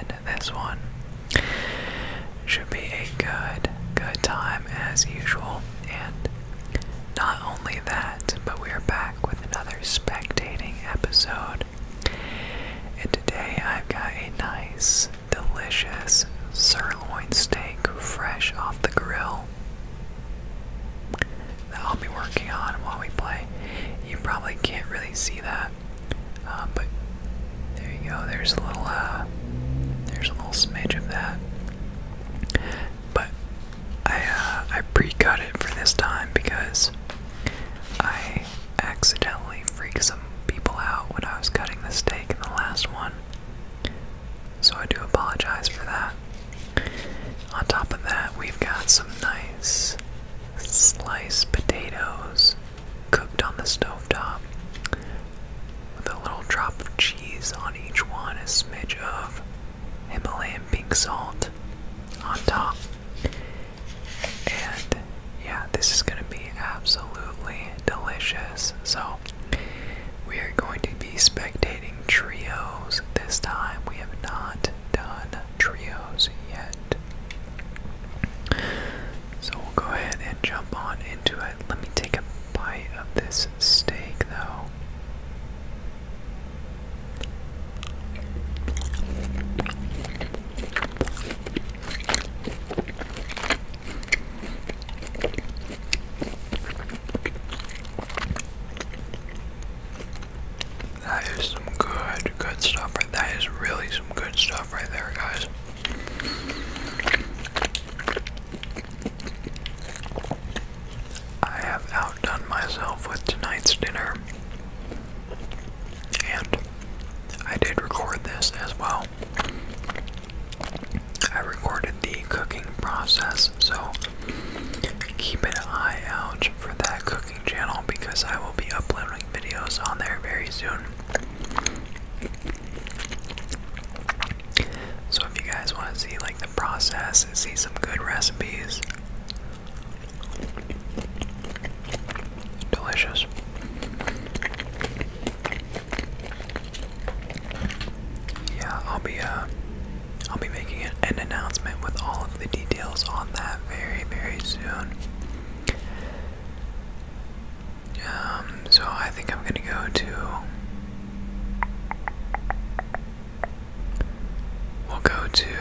in this one. Should be a good, good time as usual. And not only that, but we are back with another spectating episode. And today I've got a nice, delicious sirloin steak fresh off the grill that I'll be working on while we play. You probably can't really see that, uh, but there you go. There's a little, uh, there's a little smidge of that. But I uh, I pre-cut it for this time because I accidentally freaked some people out when I was cutting the steak in the last one. So I do apologize for that. On top of that, we've got some nice sliced potatoes cooked on the stovetop with a little drop of cheese on each one, a smidge of Himalayan pink salt on top. And yeah, this is going to be absolutely delicious. So, we are going to be spectating trios this time. We have not done trios yet. So we'll go ahead and jump on into it. Let me take a bite of this steak though. That is some good, good stuff. Right, that is really some good stuff right there, guys. I have outdone myself with tonight's dinner, and I did record this as well. I recorded the cooking process, so keep an eye out for that cooking channel because I will be uploading videos on there very soon. So if you guys want to see like the process and see some good recipes, delicious. Yeah, I'll be uh I'll be making an announcement with all of the details on that very, very soon. Um, so I think I'm gonna go to. We'll go to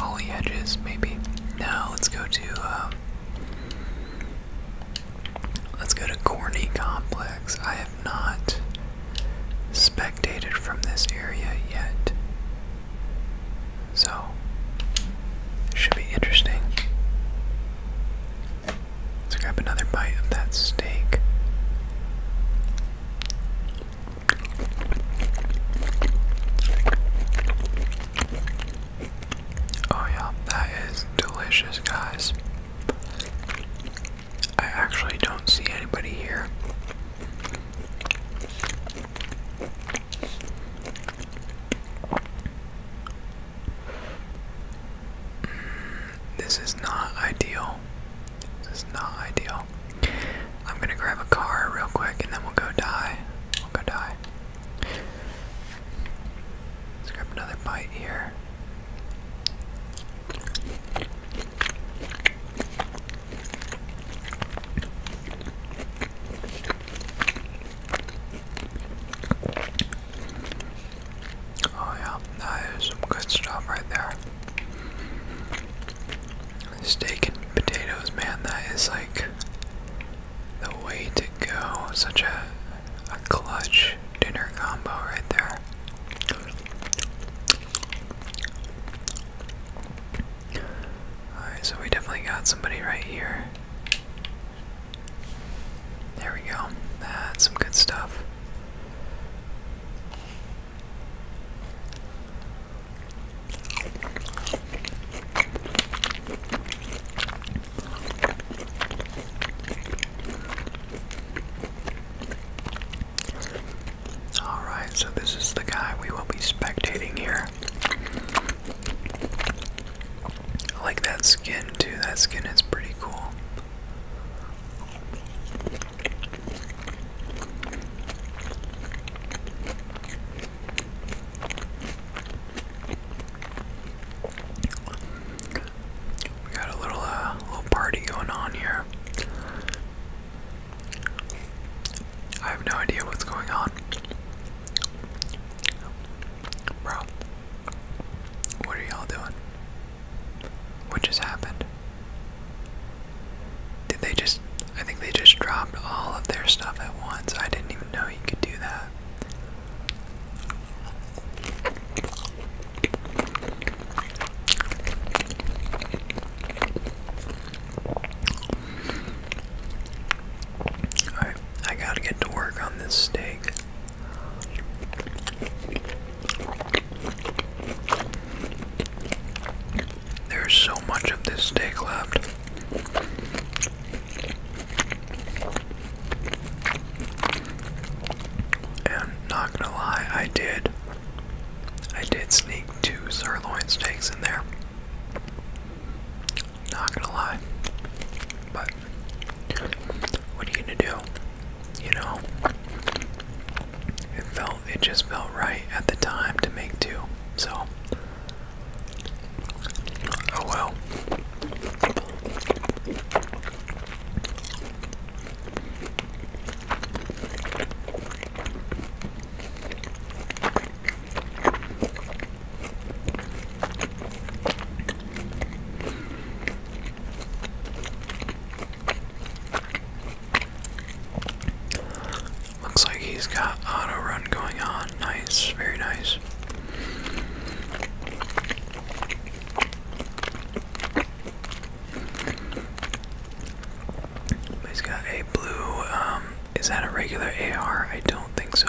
Holly Hedges, maybe. No, let's go to. Um, let's go to Corny Complex not spectated from this area yet. So, should be interesting. Let's grab another bite of that steak. Oh, yeah, that is delicious, guys. I actually don't see anybody here. Mm, this is not ideal. This is not ideal. I'm gonna grab a car real quick and then we'll go die. We'll go die. Let's grab another bite here. Oh, yeah, that is some good stuff right there. Steak and potatoes, man, that is like the way to go. Such a, a clutch dinner combo right there. Alright, so we definitely got somebody right here. There we go. That's some good stuff. Alright, so this is the guy we will be spectating here. I like that skin too, that skin is pretty cool. We got a little uh, little party going on here. I have no idea what's going on. Bro, what are y'all doing? What just happened? Did they just. I think they just dropped all of their stuff at once. I didn't even know you could do that. I gotta get to work on this steak. There's so much of this steak left. And not gonna lie, I did. I did sneak two sirloin steaks in there. Not gonna lie. But what are you gonna do? You know? It felt it just felt right at the time to make two. So Oh well. Looks like he's got auto run going on. Nice, very nice. He's got a blue, um, is that a regular AR? I don't think so.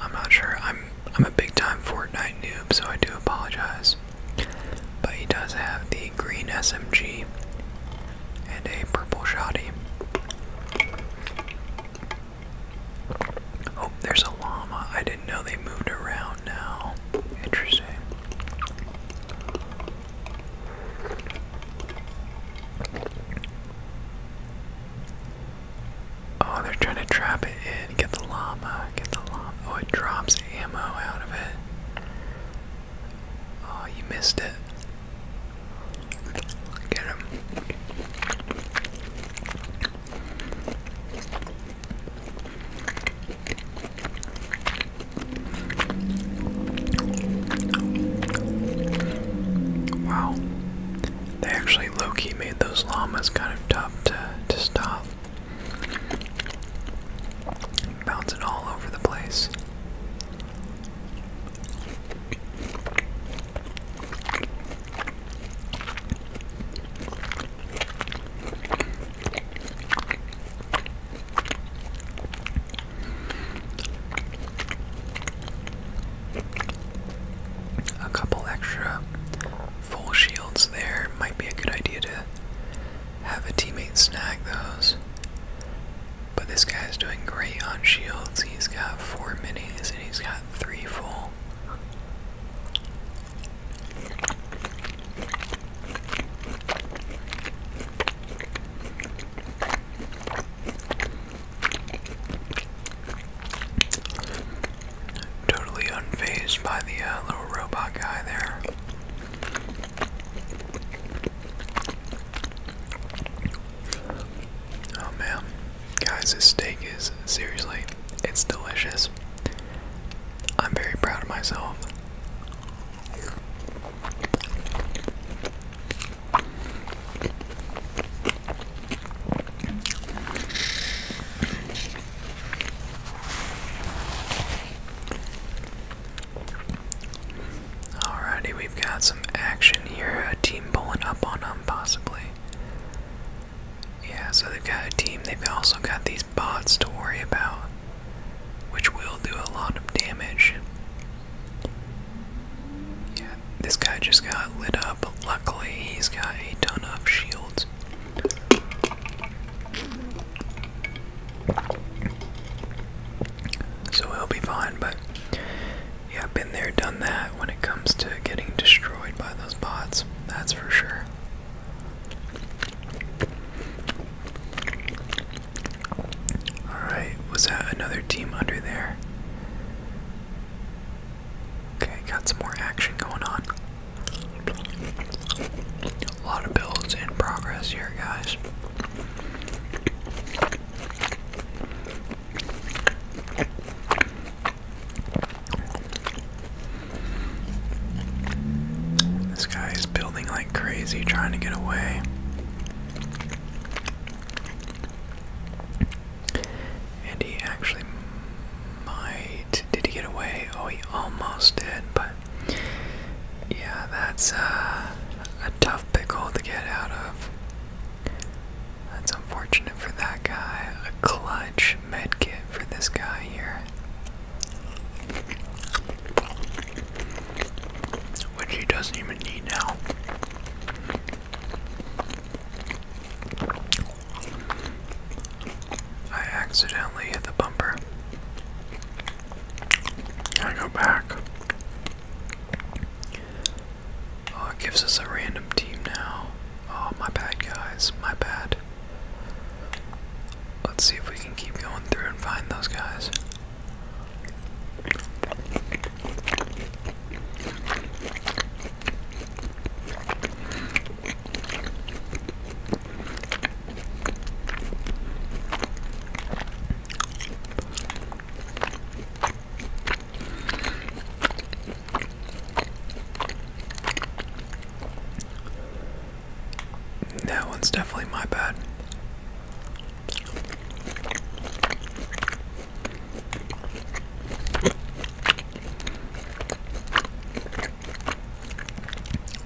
I'm not sure. I'm I'm a big time Fortnite noob, so I do apologize. But he does have the green SMG and a purple shoddy. Oh, there's a llama. I didn't know they moved around now. Interesting. Oh, they're trying to trap it in. Get the llama. Get the llama. Oh, it drops ammo out of it. Oh, you missed it. Get him. Wow. They actually low made those llamas kind of tough to, to stop. Bouncing all over the place. A couple extra full shields there might be a good idea to have a teammate snag those. But this guy's doing great on shields. He's got four minis and he's got three full. Totally unfazed by the uh, little robot guy there. Oh man. Guys, this steak is seriously, it's delicious. I'm very proud of myself. Alrighty, we've got some action here. A team pulling up on them, possibly. Yeah, so they've got a team. They've also got these bots to worry about, which will do a lot of damage. Yeah, this guy just got lit up. but Luckily, he's got a ton of shields. So he'll be fine, but yeah, been there, done that when it comes to getting destroyed by those bots, that's for sure. Alright, was that another team under there? Okay, got some more action going on. A lot of builds in progress here, guys. This guy is building like crazy, trying to get away. And he actually might. Did he get away? Oh, he almost did, but yeah, that's uh, a tough pickle to get out of. That's unfortunate for that guy. A clutch med kit for this guy here. Which he doesn't even need now. I accidentally hit the bumper. I go back. Oh, it gives us a random team now. Oh, my bad, guys. My bad. Let's see if we can keep going through and find those guys. That one's definitely my bad.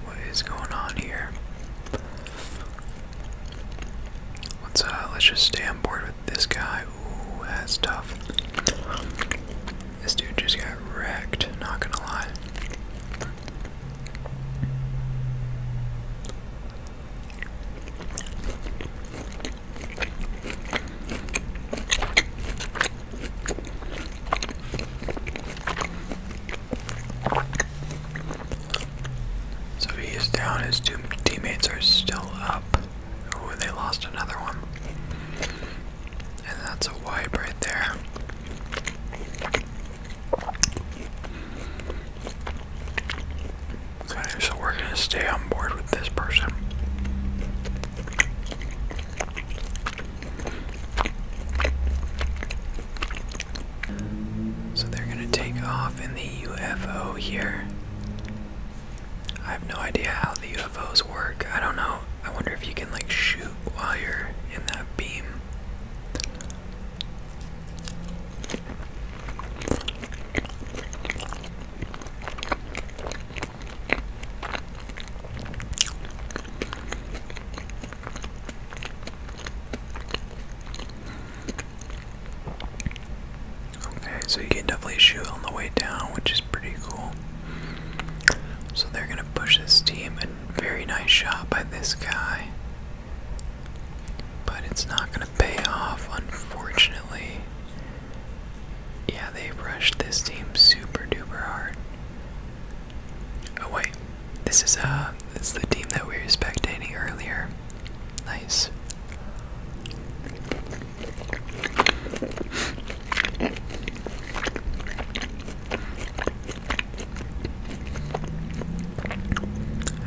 What is going on here? Let's uh let's just stay on board with this guy that's tough. This dude just got wrecked, not gonna lie. So he is down, his two teammates are still up. Ooh, they lost another one. And that's a wipe right there. Okay, so we're gonna stay on board with this person. So they're gonna take off in the UFO here. I have no idea how the UFOs work. I don't know. I wonder if you can like shoot while you're in that beam. Okay, so you can definitely shoot on the way down, which is pretty cool. So they're gonna push this team, a very nice shot by this guy. But it's not gonna pay off, unfortunately. Yeah, they rushed this team super duper hard. Oh wait, this is uh, this is the team that we were spectating earlier. Nice.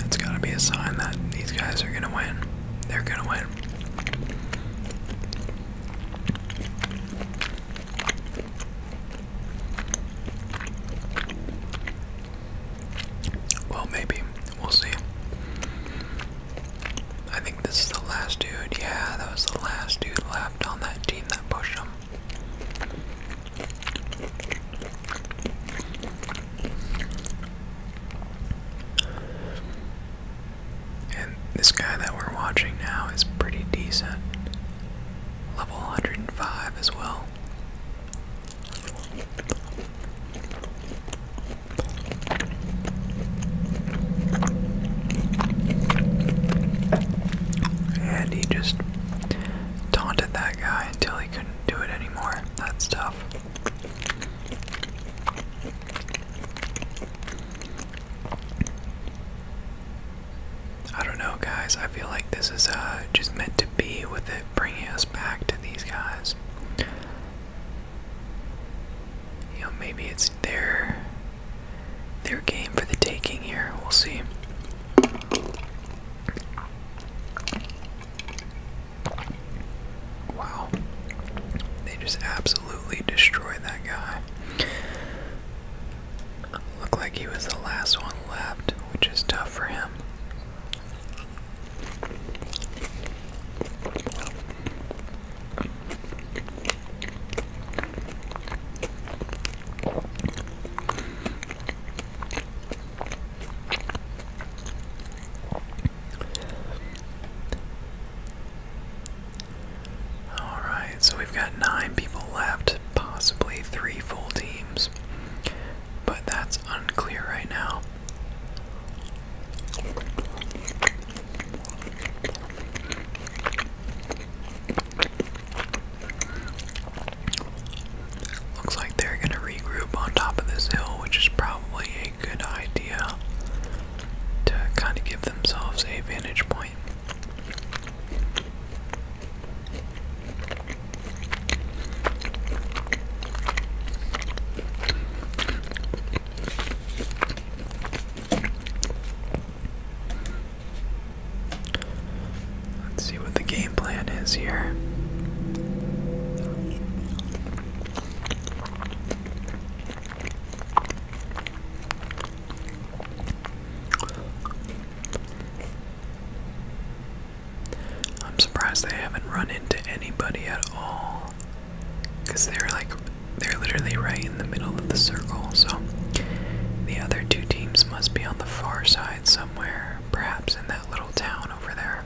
It's gotta be a sign that these guys are gonna win. They're gonna win. Well, maybe. We'll see. I think this is the last dude. Yeah, that was the last dude left on that team that pushed him. And this guy that we're watching now is pretty decent. Level 105 as well. And he just taunted that guy until he couldn't do it anymore. That's tough. I don't know, guys. I feel like this is uh, just meant to be with it bringing us back to these guys you know, maybe it's their their game for the taking here. We'll see. Wow. They just absolutely destroyed that guy. Looked like he was the last one left, which is tough for him. All right, so we've got nine people left, possibly three full teams, but that's unclear right now. Looks like they're gonna regroup on top of this hill, which is probably a good idea to kind of give themselves a vantage point. Let's see what the game plan is here. I'm surprised they haven't run into anybody at all. Because they're like, they're literally right in the middle of the circle, so the other two teams must be on the far side somewhere, perhaps in that little town over there.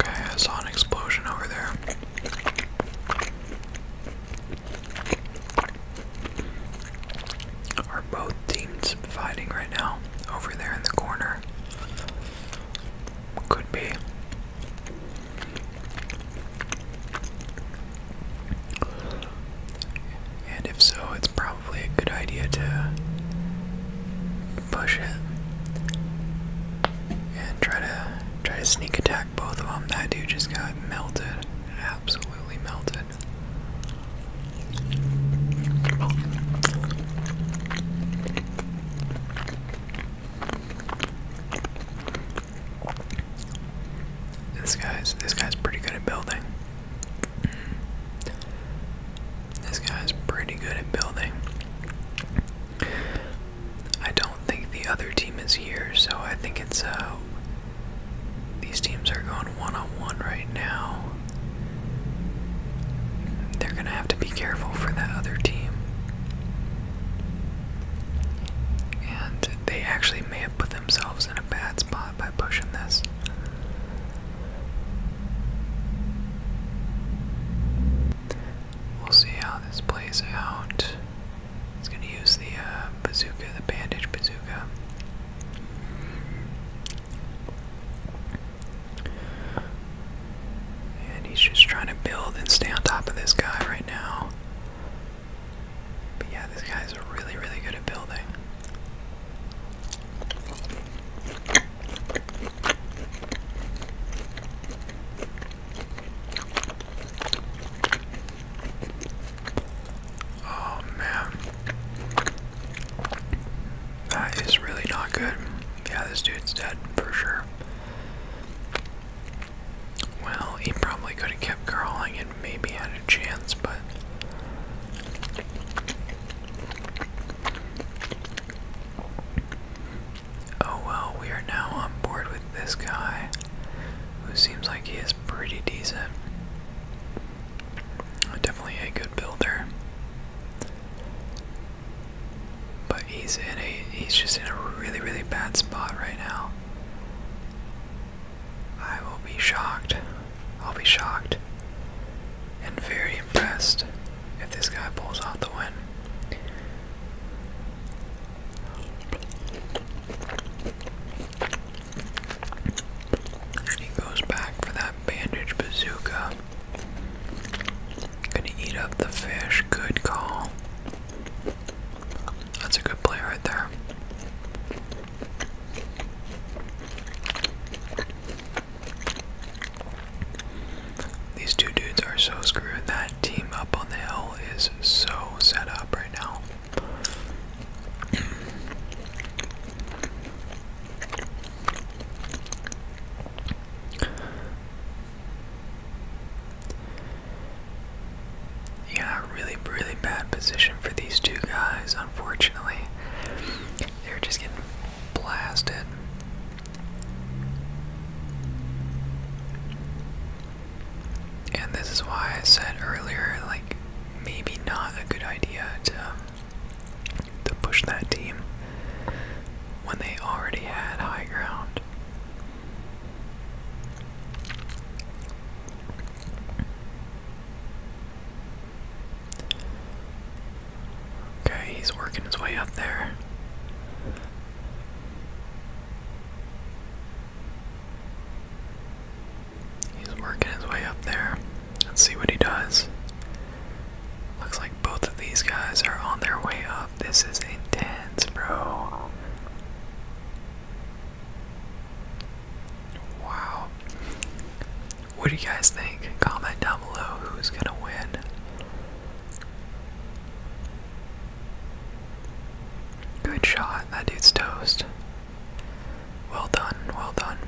Okay, I saw an explosion over there. Are both teams fighting right now? Over there in the corner. Could be. And if so, it's probably a good idea to push it and try to try to sneak attack both of them. That dude just got melted, absolutely melted. This guy's this guy's pretty good at building. This guy is pretty good at building. I don't think the other team is here, so I think it's uh these teams are going one on one right now. They're gonna have to be careful for that other team. And they actually may have put themselves in a bad spot by pushing this. We'll see how this plays out. He's gonna use the uh, bazooka, the bandage bazooka. And he's just trying to build and stay on top of this guy right now. But yeah, this guy's really, really good at building. Oh man. That is really not good. Yeah, this dude's dead for sure. Well, he probably could have kept crawling and maybe had a chance, but Oh well, we are now on board with this guy, who seems like he is pretty decent. Definitely a good builder. But he's in a he's just in a really, really bad spot right now. I will be shocked I'll be shocked and very impressed if this guy pulls out the win. And he goes back for that bandage bazooka. Gonna eat up the fish. Good call. That's a good play right there. These two dudes are so screwed. That team up on the hill is so set up right now. Yeah, really, really bad position for these two guys, unfortunately. They were just getting blasted. And this is why I said earlier, like, maybe not a good idea to, to push that team when they already had high ground. Okay, he's working his way up there. He's working his way up there. Let's see what he does. Looks like both of these guys are on their way up. This is intense, bro. Wow. What do you guys think? Comment down below who's gonna win. Good shot. That dude's toast. Well done, well done.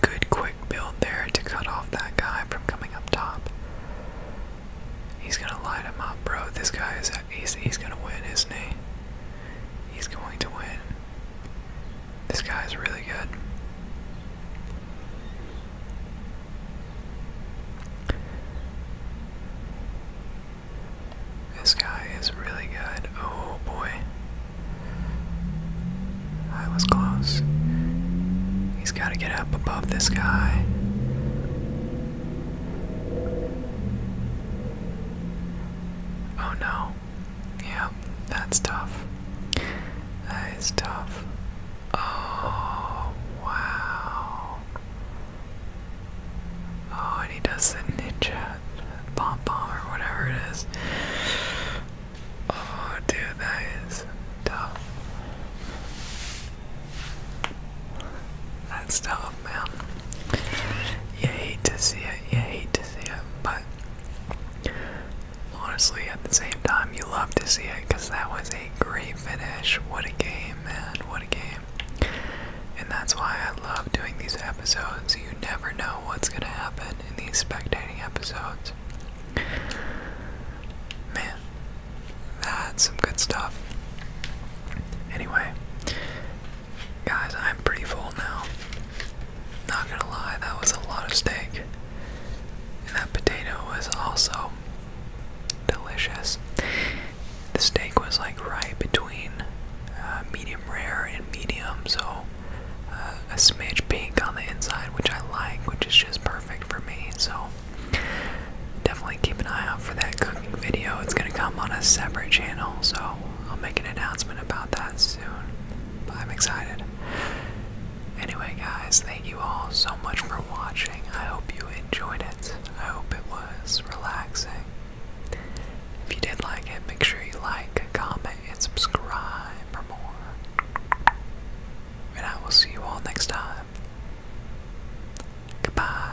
good quick build there to cut off that guy from coming up top. He's gonna light him up, bro. This guy is he's, he's gonna win, isn't he? He's going to win. This guy is really good. This guy is really good. Oh boy. I was close. He's got to get up above this guy. Oh no. Yeah, that's tough. That is tough. Oh, wow. Oh, and he does the ninja bomb bomb or whatever it is. Oh, dude, that is tough. That's tough love, oh, man. You hate to see it, you hate to see it, but honestly, at the same time, you love to see it because that was a great finish. What a game, man. What a game. And that's why I love doing these episodes. You never know what's going to happen in these spectating episodes. Man, that's some good stuff. Anyway, Guys, I'm pretty full now. Not gonna lie, that was a lot of steak. And that potato was also delicious. The steak was like right between uh, medium rare and medium, so uh, a smidge pink on the inside, which I like, which is just perfect for me. So definitely keep an eye out for that cooking video. It's gonna come on a separate channel, so I'll make an announcement about that soon. But I'm excited. Anyway, guys, thank you all so much for watching. I hope you enjoyed it. I hope it was relaxing. If you did like it, make sure you like, comment, and subscribe for more. And I will see you all next time. Goodbye.